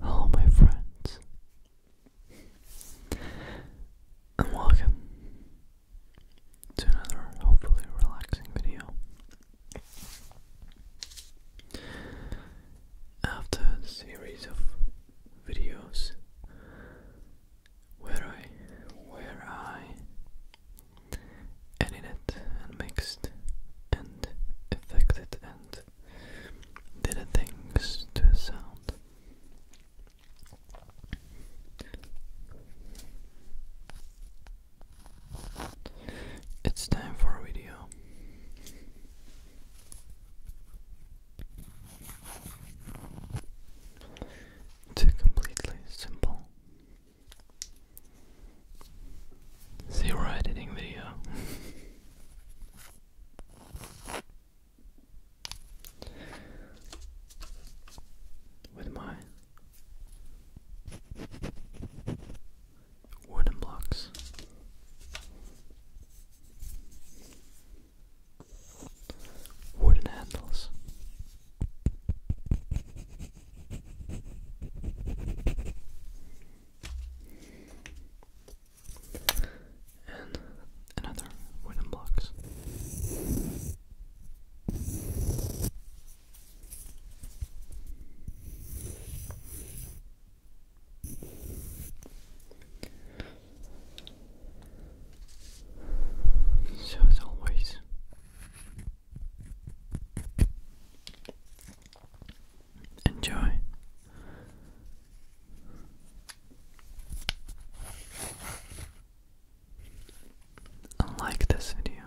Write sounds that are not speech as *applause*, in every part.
Hello, my friends, and welcome to another hopefully relaxing video. After the series of videos where I where I edited and mixed and affected and did things to sound. It's time for a video. It's completely simple Zero editing video. With my wooden blocks. Wooden handles and another wooden blocks. So as always, Enjoy. like this video.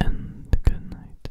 And good night.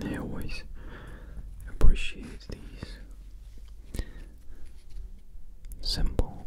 I always appreciate these simple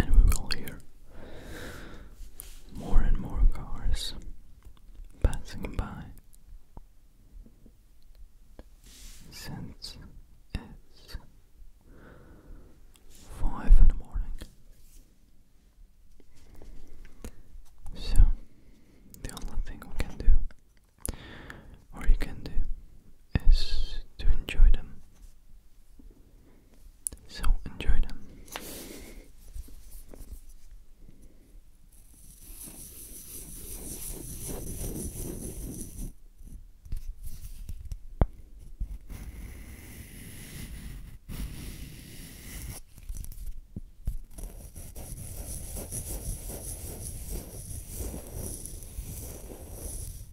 And we will hear more and more cars passing by since it's five in the morning. So the only thing we can do all you can do is to enjoy them. So enjoy them.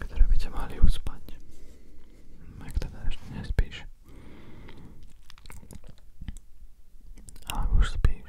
ktoré by ťa mali uspať, ak teda ešte nespíš. A už spíš,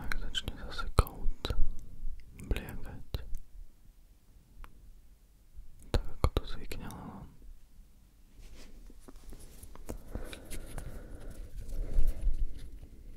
Ak začne zase kout blievať, tak ako to zvykne len. No.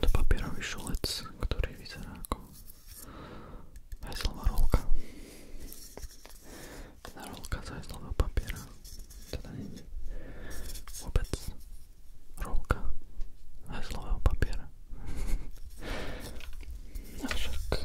to papierový šulec, ktorý vyzerá ako hajzlová rolka. Teda rolka z hajzlového papiera. Teda nie vôbec rolka hajzlového papiera. Avšak... *laughs*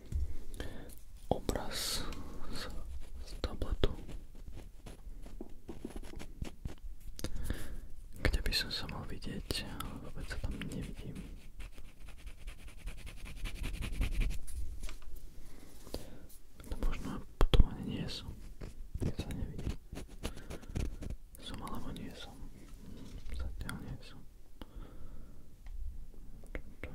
obraz z, z tabletu, kde by som sa mal vidieť, ale vôbec sa tam nevidím. To možno potom ani nie som, keď sa nevidím. Som alebo nie som. Zatiaľ nie som. Čo, čo?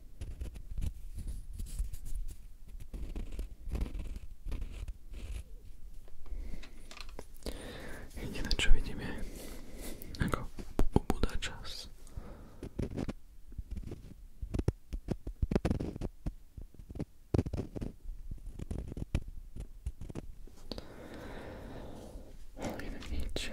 Jediné čo vidím je, ako ubúda čas. Inak nič.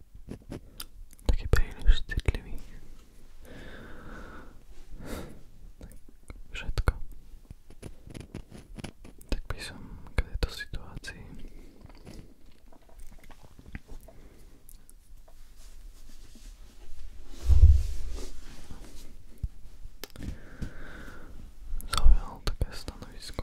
taký príliš citlivý. Tak všetko. Tak by som k tejto situácii zaujal také stanovisko.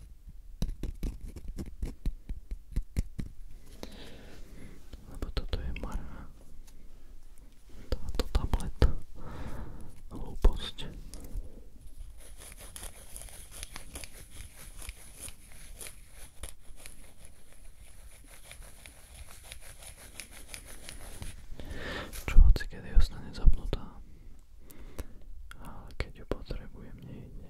Lebo toto je mará. Táto tableta. Hlúposť. Čo hoci kedy ostane zapnutá, ale keď ju potrebujem nejde.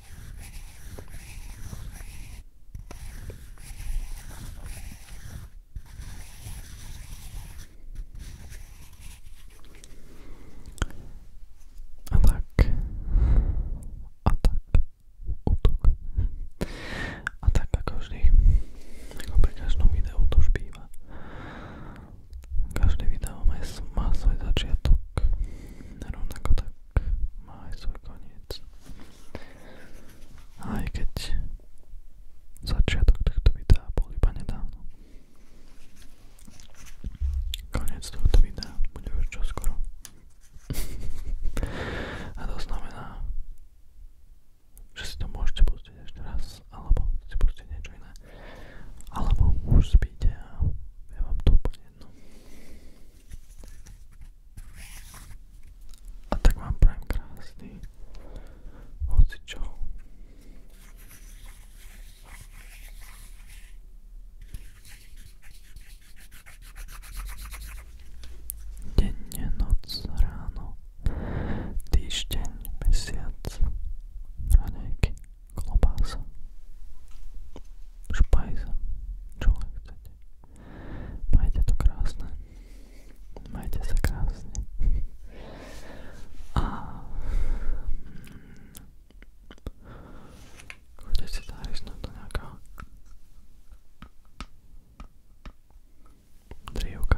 Atak. Atak. Útok. A tak ako vždy, ako pri každom videu to už býva. Každé video má svoj začiatok rovnako tak má aj svoj koniec. Aj keď začiatok tohto videa bol iba nedávno. Koniec tohto videa bude už čoskoro. *laughs* A to znamená, že si to môžete pustiť ešte raz, alebo si pustiť niečo iné. Alebo už spíte a ja vám to úplne jedno. A tak vám prajem krásny hocičo. Denne, noc, ráno, týždeň, mesiac, ranejky klobása, špajza, čo len chcete. Majte to krásne, majte sa krásne. A chodte si zarisnúť do nejakého drívka.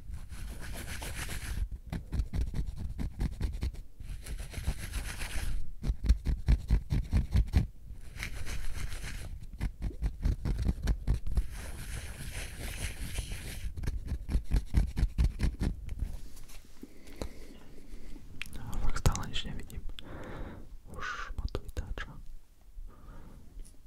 No, fakt stále nič nevidím. Už ma to vytáča.